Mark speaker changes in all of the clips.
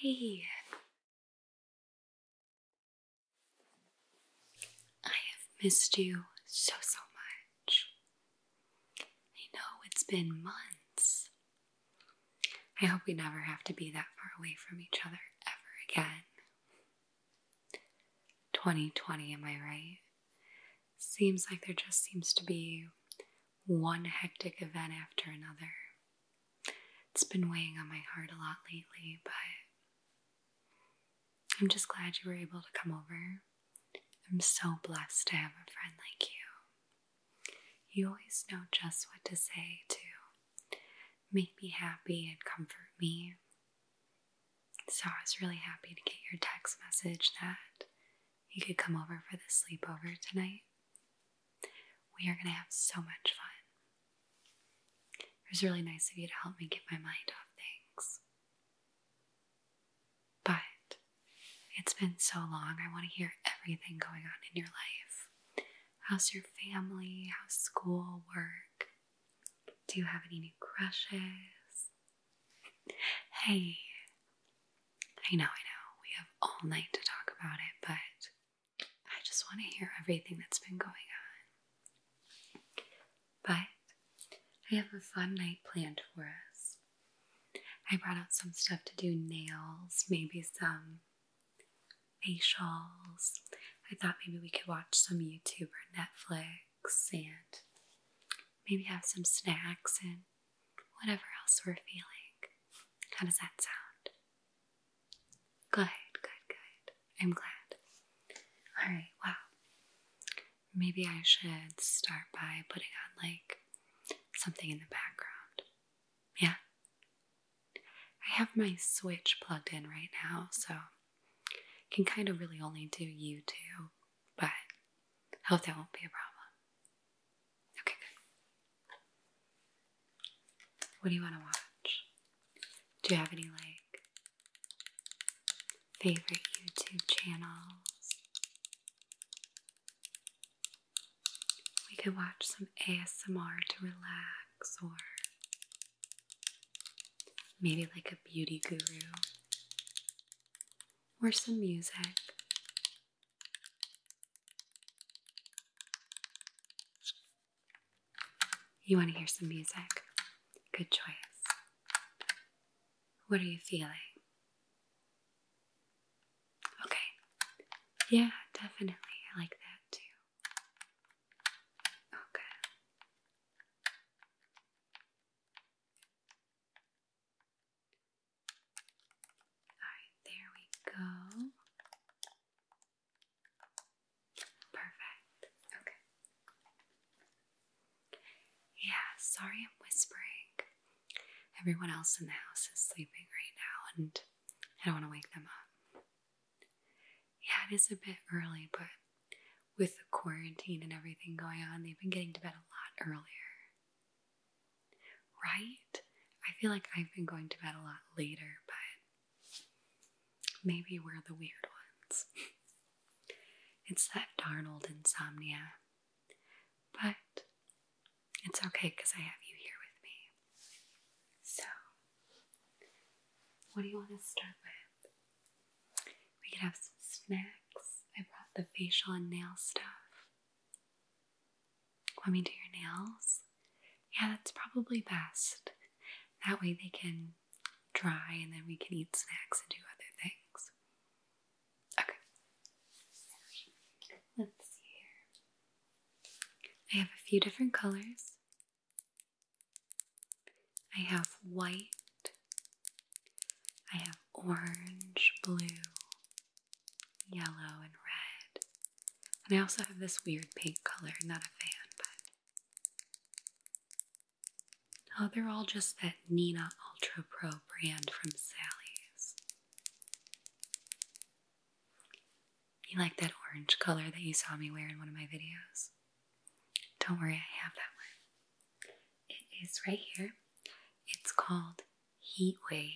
Speaker 1: Hey, I have missed you so so much. I know it's been months. I hope we never have to be that far away from each other ever again. 2020, am I right? Seems like there just seems to be one hectic event after another. It's been weighing on my heart a lot lately, but I'm just glad you were able to come over. I'm so blessed to have a friend like you. You always know just what to say to make me happy and comfort me. So I was really happy to get your text message that you could come over for the sleepover tonight. We are going to have so much fun. It was really nice of you to help me get my mind off things. But it's been so long, I want to hear everything going on in your life. How's your family? How's school, work? Do you have any new crushes? Hey, I know, I know, we have all night to talk about it, but I just want to hear everything that's been going on. But I have a fun night planned for us. I brought out some stuff to do nails, maybe some facials. I thought maybe we could watch some YouTube or Netflix and maybe have some snacks and whatever else we're feeling. How does that sound? Good, good, good. I'm glad. Alright, wow. Maybe I should start by putting on like something in the background. Yeah? I have my switch plugged in right now, so I can kind of really only do YouTube, but I hope that won't be a problem. Okay, good. What do you want to watch? Do you have any like favorite YouTube channels? We could watch some ASMR to relax, or maybe like a beauty guru, or some music. You want to hear some music? Good choice. What are you feeling? Okay. Yeah, definitely. I like that too. Okay. Oh, Alright, there we go. Perfect. Okay. Yeah, sorry I'm whispering. Everyone else in the house is sleeping right now, and I don't want to wake them up. Yeah, it is a bit early, but with the quarantine and everything going on, they've been getting to bed a lot earlier. Right? I feel like I've been going to bed a lot later, but maybe we're the weird ones. it's that darn old insomnia. But it's okay because I have you here with me. So, what do you want to start with? We could have some snacks. I brought the facial and nail stuff. Want me to do your nails? Yeah, that's probably best. That way they can dry and then we can eat snacks and do other things. Okay. Let's see here. I have a few different colors. I have white. I have orange, blue, yellow, and red. And I also have this weird pink color. Not a fan, but. Oh, they're all just that Nina Ultra Pro brand from Sally's. You like that orange color that you saw me wear in one of my videos? Don't worry, I have that one. It is right here. It's called Heat Wave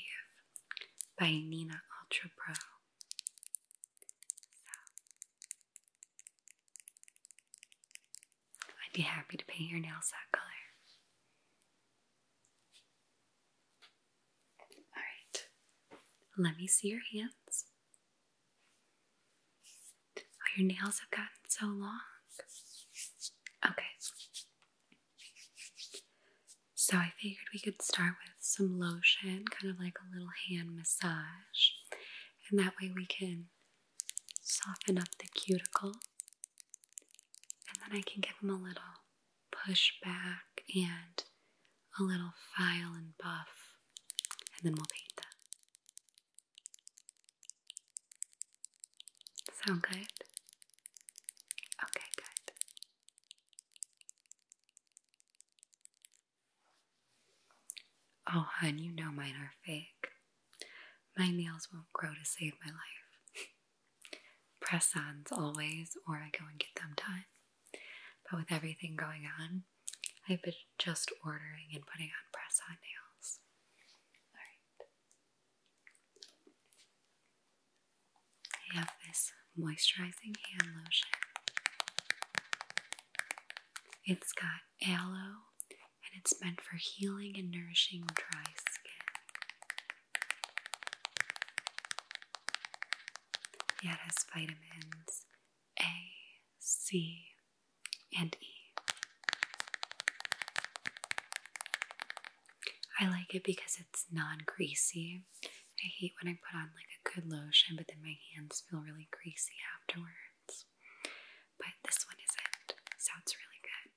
Speaker 1: by Nina Ultra Pro. I'd be happy to paint your nails that color. All right, let me see your hands. Oh, your nails have gotten so long. Okay. So I figured we could start with some lotion, kind of like a little hand massage. And that way we can soften up the cuticle. And then I can give them a little push back and a little file and buff, and then we'll paint that. Sound good? Okay, good. Oh, hun, you know mine are fake. My nails won't grow to save my life. press ons always, or I go and get them done. But with everything going on, I've been just ordering and putting on press on nails. Alright. I have this moisturizing hand lotion. It's got aloe and it's meant for healing and nourishing dry skin. Yeah, it has vitamins A, C, and E. I like it because it's non greasy. I hate when I put on like a good lotion, but then my hands feel really greasy afterwards. But this one isn't, so it's really good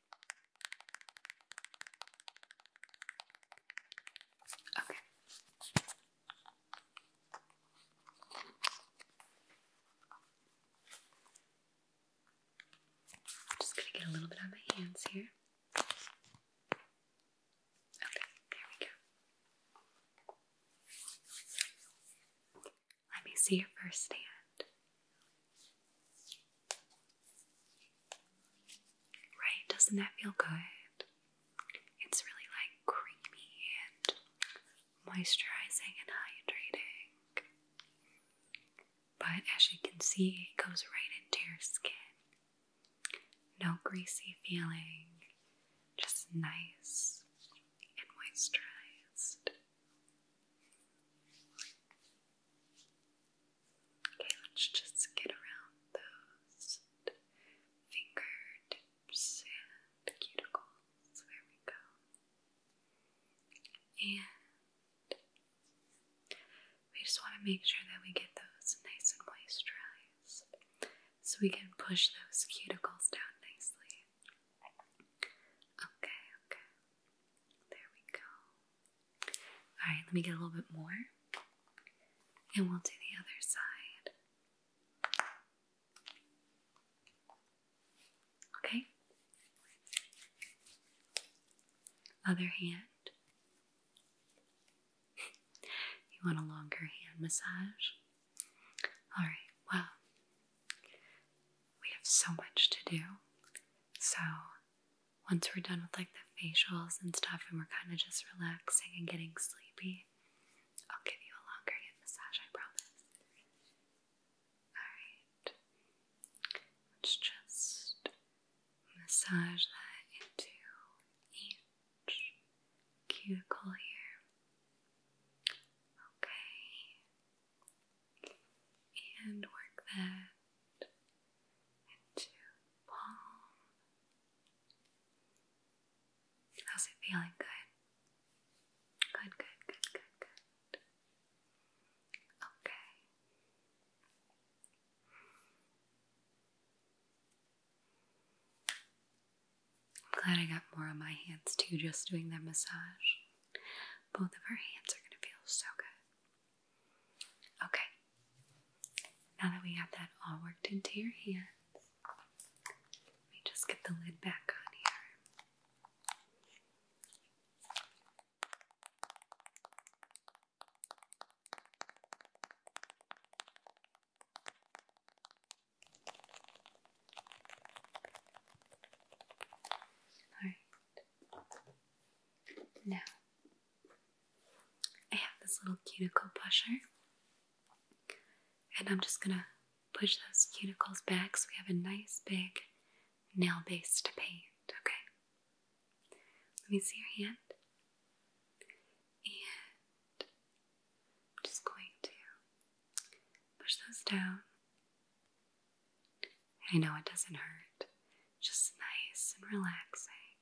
Speaker 1: just going to get a little bit on my hands here. Okay, there we go. Let me see your first hand. Right, doesn't that feel good? It's really like creamy and moisturizing and hydrating. But as you can see, it goes right into your skin. No greasy feeling, just nice and moisturized. Okay, let's just get around those fingertips and cuticles. There we go. And we just want to make sure that we get those nice and moisturized so we can push those cuticles down nicely. Okay, okay. There we go. All right, let me get a little bit more. And we'll do the other side. Okay. Other hand. you want a longer hand massage? All right, well, we have so much to do. So once we're done with like the facials and stuff and we're kind of just relaxing and getting sleepy, I'll give you a longer hand massage, I promise. Alright, let's just massage that into each cuticle here. Okay, and work that into palm. How's it feeling? Good? Good, good, good, good, good. Okay. I'm glad I got more on my hands too, just doing that massage. Both of our hands are going to feel so good. Okay, now that we have that all worked into your hands, let me just get the lid back on here. All right. Now, I have this little cuticle pusher, and I'm just gonna push those cuticles back so we have a nice big nail base to paint, okay? Let me see your hand. And I'm just going to push those down. I know it doesn't hurt, just nice and relaxing.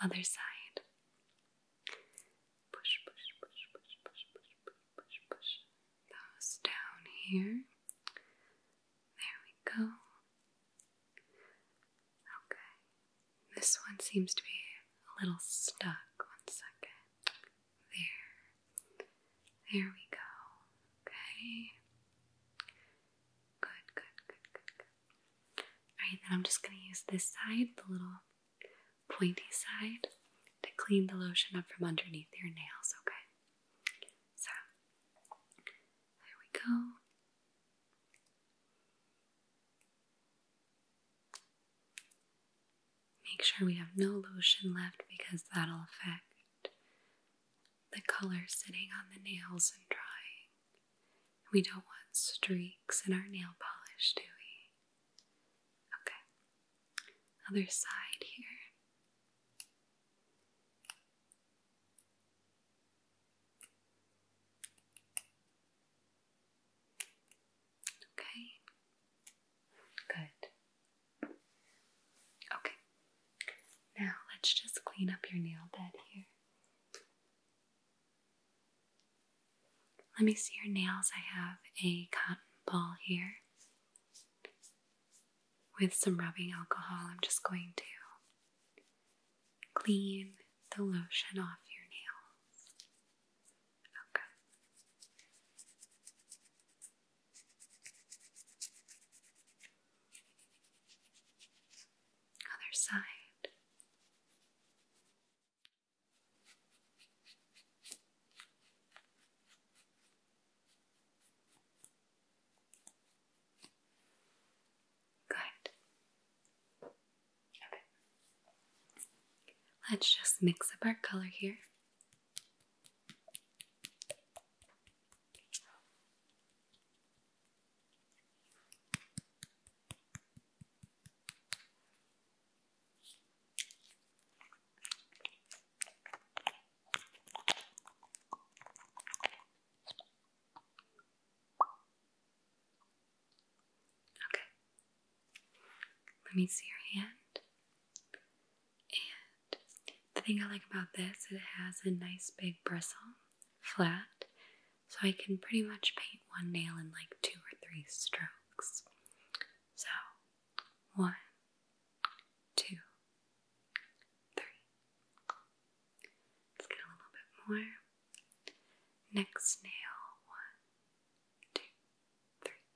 Speaker 1: Other side. Push, push, push, push, push, push, push, push, Those down here. There we go. Okay. This one seems to be a little stuck. One second. There. There we go. Okay. Good, good, good, good, good. Alright, then I'm just going to use this side, the little pointy side, to clean the lotion up from underneath your nails, okay? So, there we go. Make sure we have no lotion left because that'll affect the color sitting on the nails and drying. We don't want streaks in our nail polish, do we? Okay. Other side here. Okay. Good. Okay. Now let's just clean up your nail bed here. Let me see your nails. I have a cotton ball here with some rubbing alcohol. I'm just going to clean the lotion off your nails. Okay other side. Good. Okay. Let's just mix up our color here. Okay. Let me see your hand. And the thing I like about this, is it has a nice big bristle flat, so I can pretty much paint one nail in like two or three strokes. So, one, two, three. Let's get a little bit more. Next nail, one, two, three.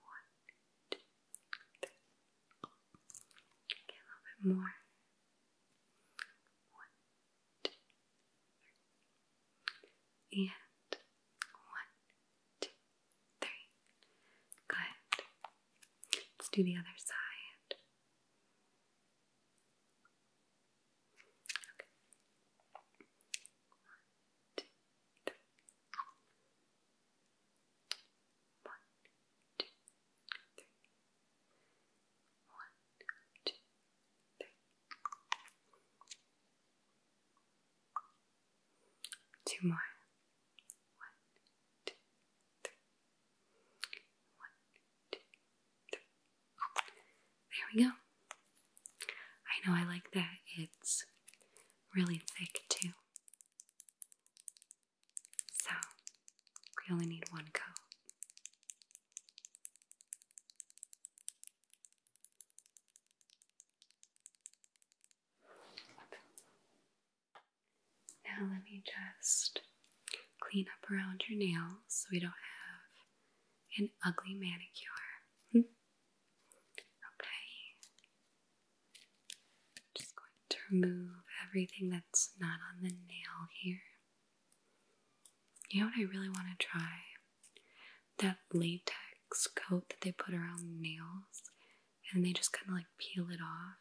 Speaker 1: One, two, three. Get a little bit more. One, two, three. And one, two, three. Good. Let's do the other side. Okay. One, two, three. One, two, three. more. One, two, three. There we go. I know I like that. It's really thick too. So, we only need one coat. Now, let me just clean up around your nails so we don't have an ugly manicure. okay to remove everything that's not on the nail here. You know what I really want to try? That latex coat that they put around nails and they just kind of like peel it off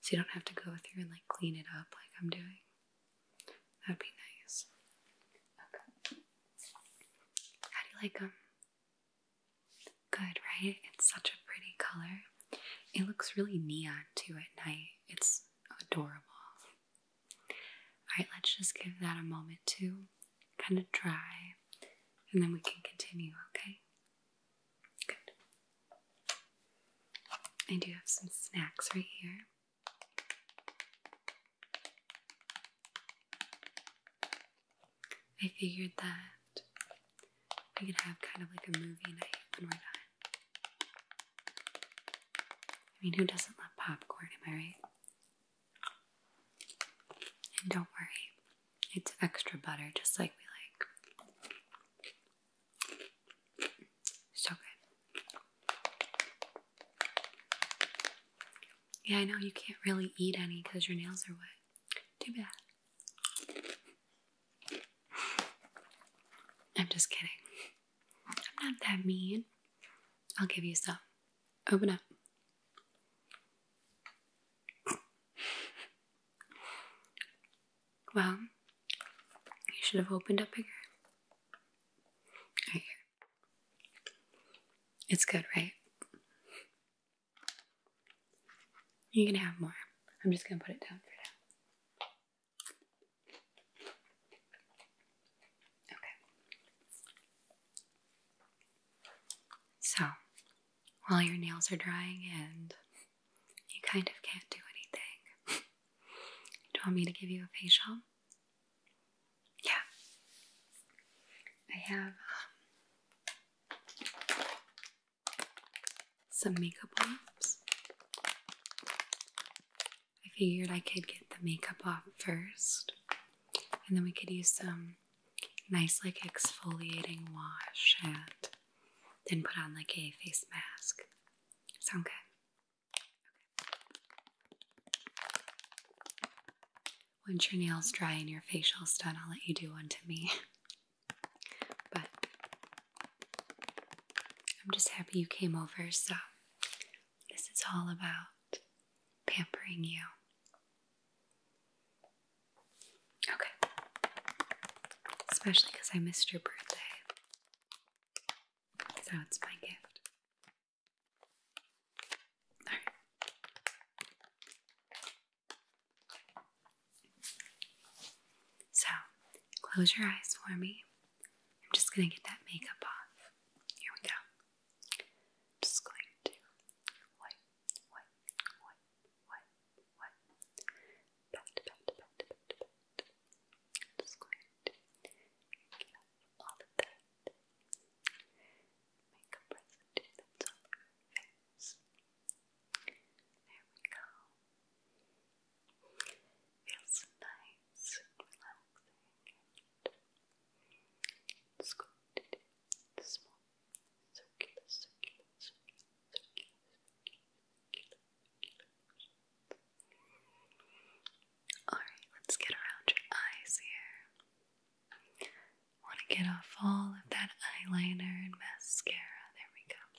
Speaker 1: so you don't have to go through and like clean it up like I'm doing. That'd be nice. How do you like them? Good, right? It's such a pretty color. It looks really neon too at night. It's adorable. Alright, let's just give that a moment to kind of dry and then we can continue, okay? Good. I do have some snacks right here. I figured that we could have kind of like a movie night when we're done. I mean, who doesn't love popcorn, am I right? And don't worry, it's extra butter just like we like. So good. Yeah, I know you can't really eat any because your nails are wet. Too bad. I'm just kidding. I'm not that mean. I'll give you some. Open up. Well, you should have opened up bigger. Right here. It's good, right? You can have more. I'm just going to put it down for now. Okay. So, while your nails are drying and you kind of can't do anything, do you want me to give you a facial? Yeah. I have. Um, some makeup off. I figured I could get the makeup off first, and then we could use some nice, like, exfoliating wash and then put on like a face mask. Sound good? Once your nails dry and your facial's done, I'll let you do one to me. But I'm just happy you came over, so this is all about pampering you. Okay. Especially because I missed your birthday. So it's my gift. Alright. So, close your eyes for me. I'm just going to get that makeup off. Here we go. just going to wipe, wipe, wipe, wipe, wipe. just going to get all of that makeup residue that's on face. There we go. Feels nice relaxing and small circular, circular, circular, circular, circular, circular. Alright, let's get around your eyes here. Want to get off all of that eyeliner and mascara. There we go.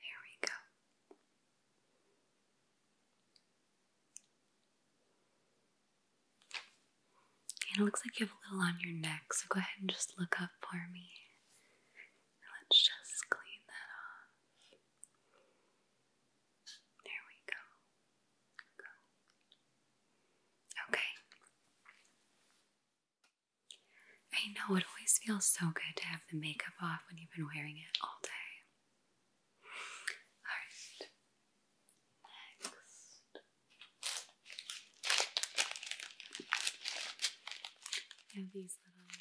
Speaker 1: There we go. And it looks like you have a little on your neck, so go ahead and just look up for me. let's just clean that off. There we go. Okay. I know it always feels so good to have the makeup off when you've been wearing it all day. Alright. Next. these little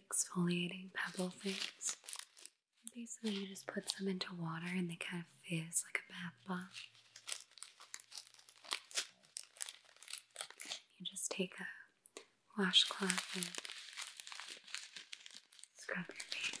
Speaker 1: exfoliating pebble things. Basically, you just put them into water and they kind of fizz like a bath bomb. You just take a washcloth and scrub your face.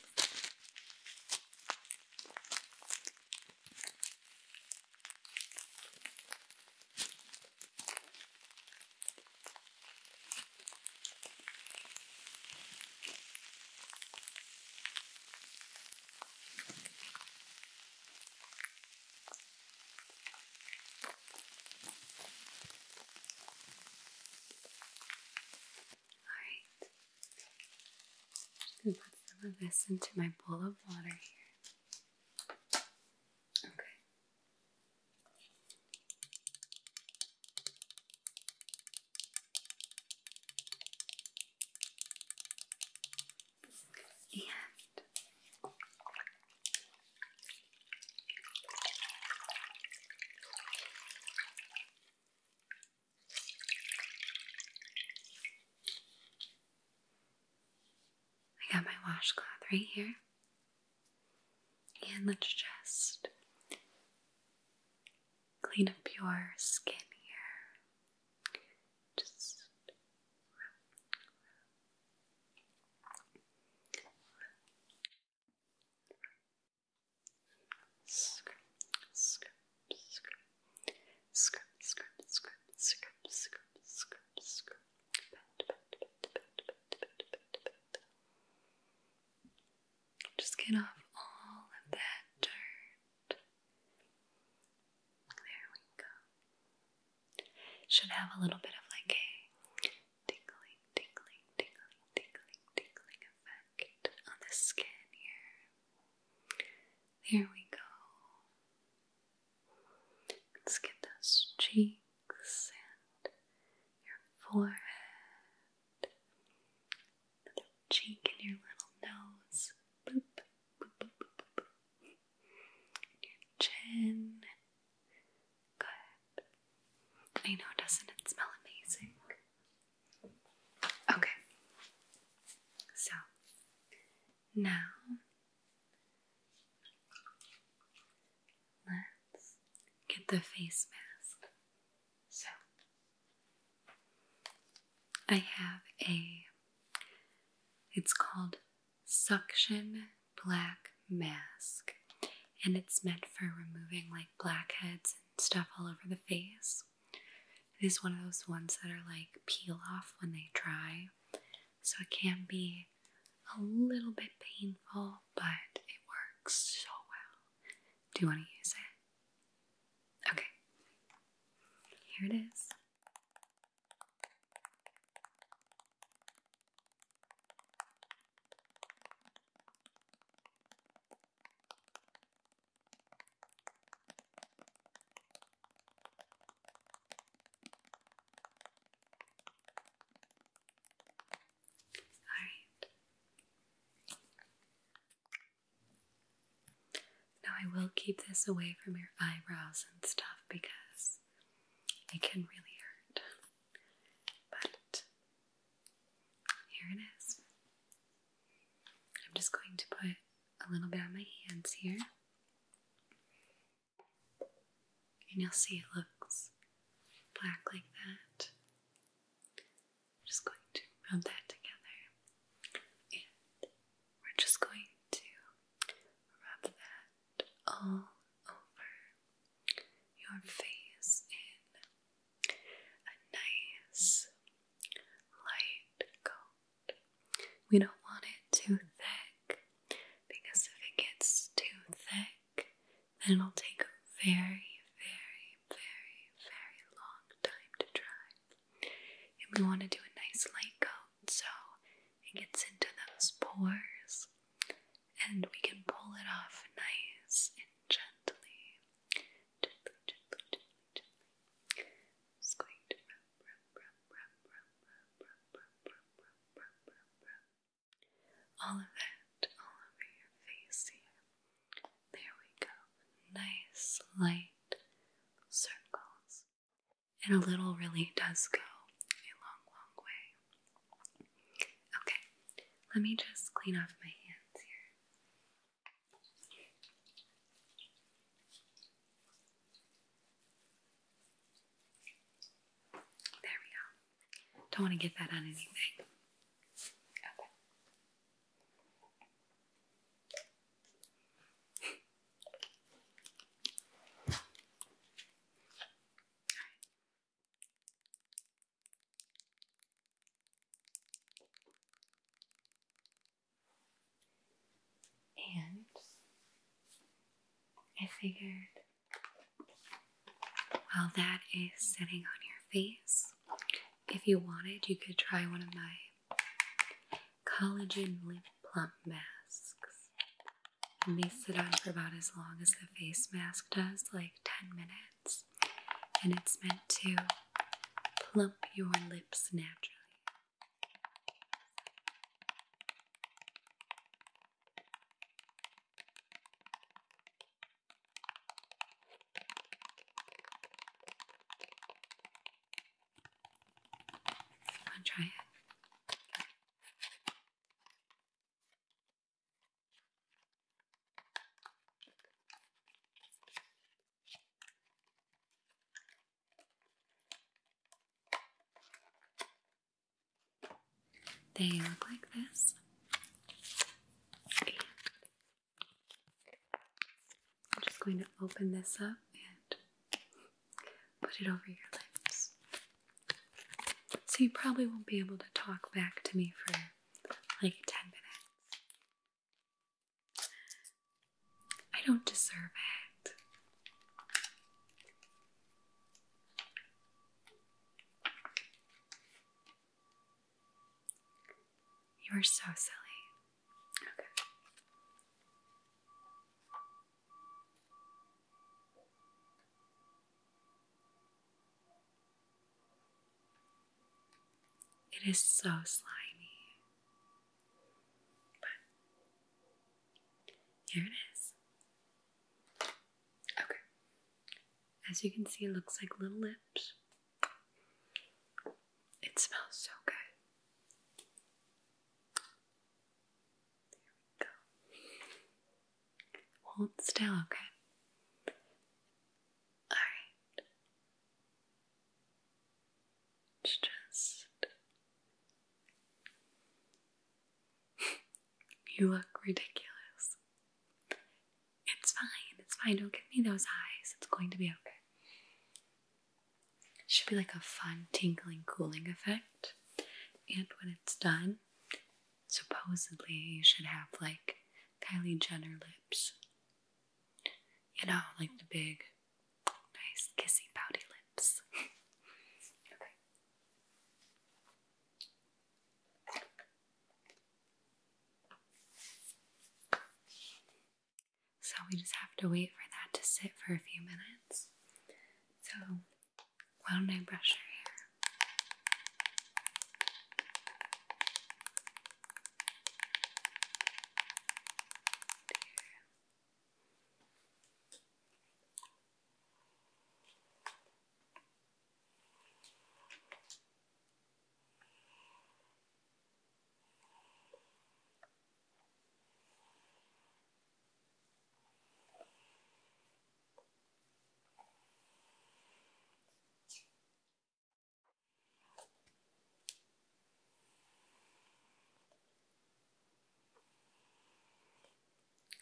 Speaker 1: Alright, I'm going to put some of this into my bowl of water here. Okay and I got my washcloth right here. And let's just clean up your skin here. Just Scrub, scrub, scrub, scrub, scrub, scrub, scrub, scrub, scrub, scrub, pat, pat, pat, pat, pat, pat, pat, pat. Just get off all of that dirt. There we go. Should have a little bit of like a tingling, tingling, tingling, tingling, tingling effect on the skin here. There we go. Let's get those cheeks and your forehead, the cheek and your little nose your chin. Good. I know, doesn't it smell amazing? Okay. So, now let's get the face mask. So, I have a, it's called Suction Black Mask, and it's meant for removing like blackheads and stuff all over the face. It is one of those ones that are like peel off when they dry, so it can be a little bit painful, but it works so well. Do you want to use it? Okay, here it is. All right. Now I will keep this away from your eyebrows and stuff because it can really hurt. But here it is. I'm just going to put a little bit on my hands here. And you'll see it looks black like that. just going to rub that together. And we're just going to Rub that all over your face in a nice light coat. We don't want it too thick because if it gets too thick, then it'll take a very, very, very, very long time to dry. And we want to do a nice light coat so it gets into those pores and we can pull it off nice and gently. Gently, gently, gently, gently. Just going to rub, rub, rub, rub, rub, rub, rub, rub, rub, rub, rub, rub, rub. All of it all over your face here. There we go. Nice, light circles. And a little really does go a long, long way. Okay, let me just clean off my hands here. There we go. Don't want to get that on anything. Okay. And I figured while that is sitting on your face, if you wanted, you could try one of my collagen lip plump masks. And they sit on for about as long as the face mask does, like 10 minutes. And it's meant to plump your lips naturally try it? They look like this. I'm just going to open this up and Put it over your lips. So you probably won't be able to talk back to me for like 10 minutes. I don't deserve it. You are so silly. It is so slimy, but here it is. Okay, as you can see, it looks like little lips. It smells so good. There we go. Hold still, okay? Alright. Just. you look ridiculous. It's fine, it's fine. Don't give me those eyes. It's going to be okay. Should be like a fun tingling cooling effect. And when it's done, supposedly you should have like Kylie Jenner lips. You know, like the big, nice, kissy, pouty lips. So we just have to wait for that to sit for a few minutes. So why don't I brush her hair?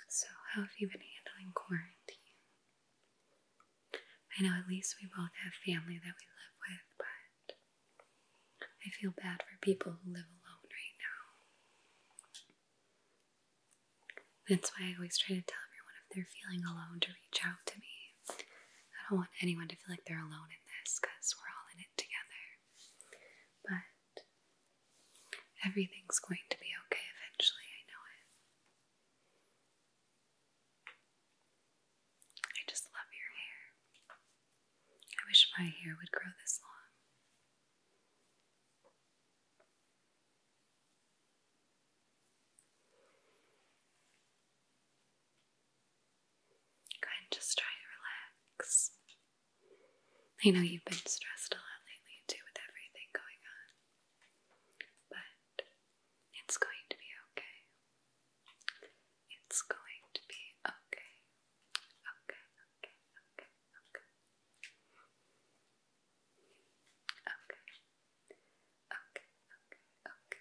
Speaker 1: So, how have you been handling quarantine? I know at least we both have family that we live with, but I feel bad for people who live alone right now. That's why I always try to tell everyone if they're feeling alone to reach out to me. I don't want anyone to feel like they're alone in this because we're all in it together. But everything's going to be okay eventually, I know it. I just love your hair. I wish my hair would grow this long. Go ahead just try to relax. I know you've been stressed a lot lately too with everything going on, but it's going to be okay. It's going to be okay. Okay, okay, okay, okay. Okay. Okay, okay, okay. Okay,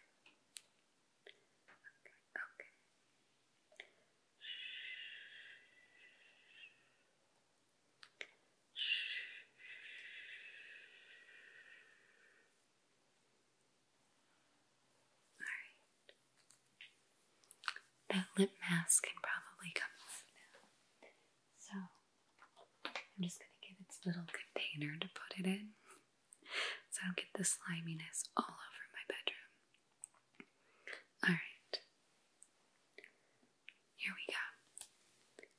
Speaker 1: Alright. That lip mask can probably come off now. So, I'm just going to get its little container to put it in. So i don't get the sliminess all over my bedroom. Alright. Here we go.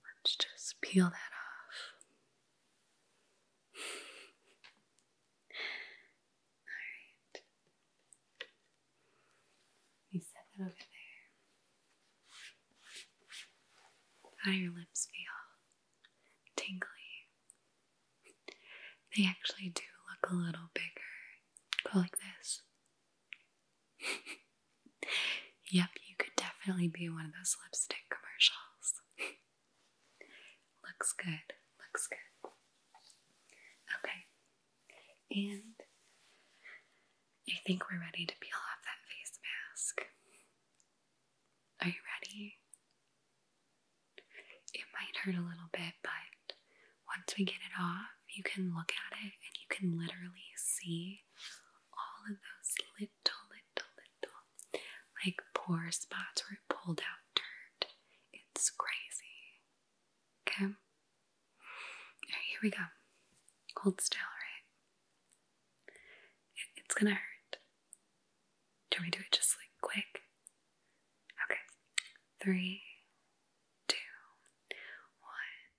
Speaker 1: Let's just peel that off. Alright. Let me set that over there. How do your lips feel? Tingly. They actually do look a little bigger. Go like this. yep, you could definitely be one of those lipstick commercials. Looks good. Looks good. Okay. And I think we're ready to peel off that face mask. Are you ready? It might hurt a little bit, but once we get it off, you can look at it and you can literally see all of those little, little, little, like pore spots where it pulled out dirt. It's crazy. Okay? here we go. Hold still, right? it's gonna hurt. Can we do it just like quick? Okay. Three, two, one.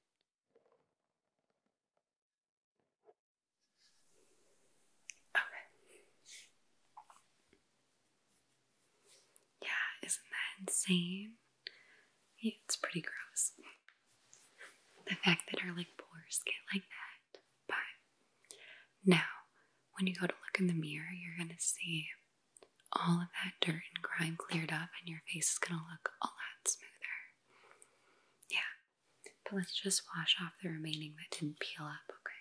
Speaker 1: Okay. Yeah, isn't that insane? Yeah, it's pretty gross. The fact that our like pores get like that. But now, when you go to look in the mirror, you're gonna see all of that dirt and grime cleared up, and your face is gonna look a lot smoother. Yeah, but let's just wash off the remaining that didn't peel up, okay?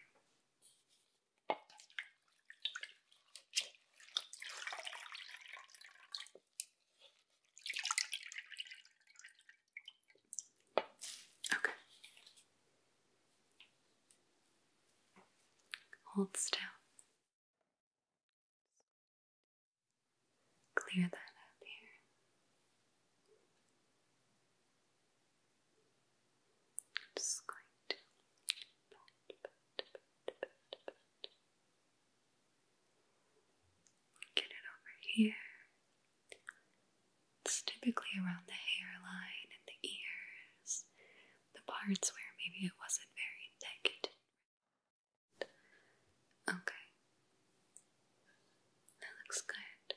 Speaker 1: Okay. Hold still. Clear that up here just going to Get it over here. It's typically around the hairline and the ears, the parts where maybe it wasn't very thick. Okay. That looks good.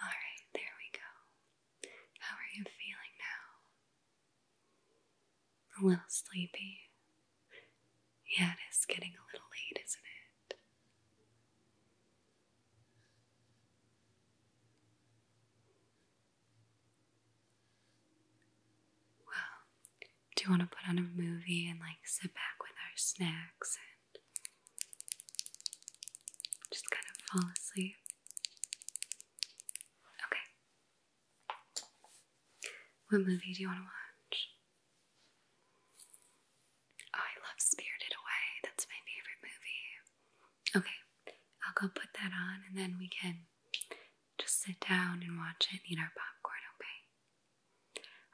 Speaker 1: All right, there we go. How are you feeling now? A little sleepy. Yeah, it is getting a little late, isn't it? Well, do you want to put on a movie and like sit back with our snacks and just kind of fall asleep? Okay. What movie do you want to watch? Oh, I love Spirited Away. That's my favorite movie. Okay, I'll go put that on and then we can just sit down and watch it and eat our popcorn, okay?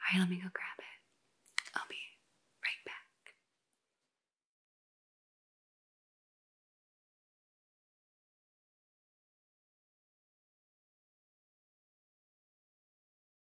Speaker 1: Alright, let me go grab it. I'll be right back.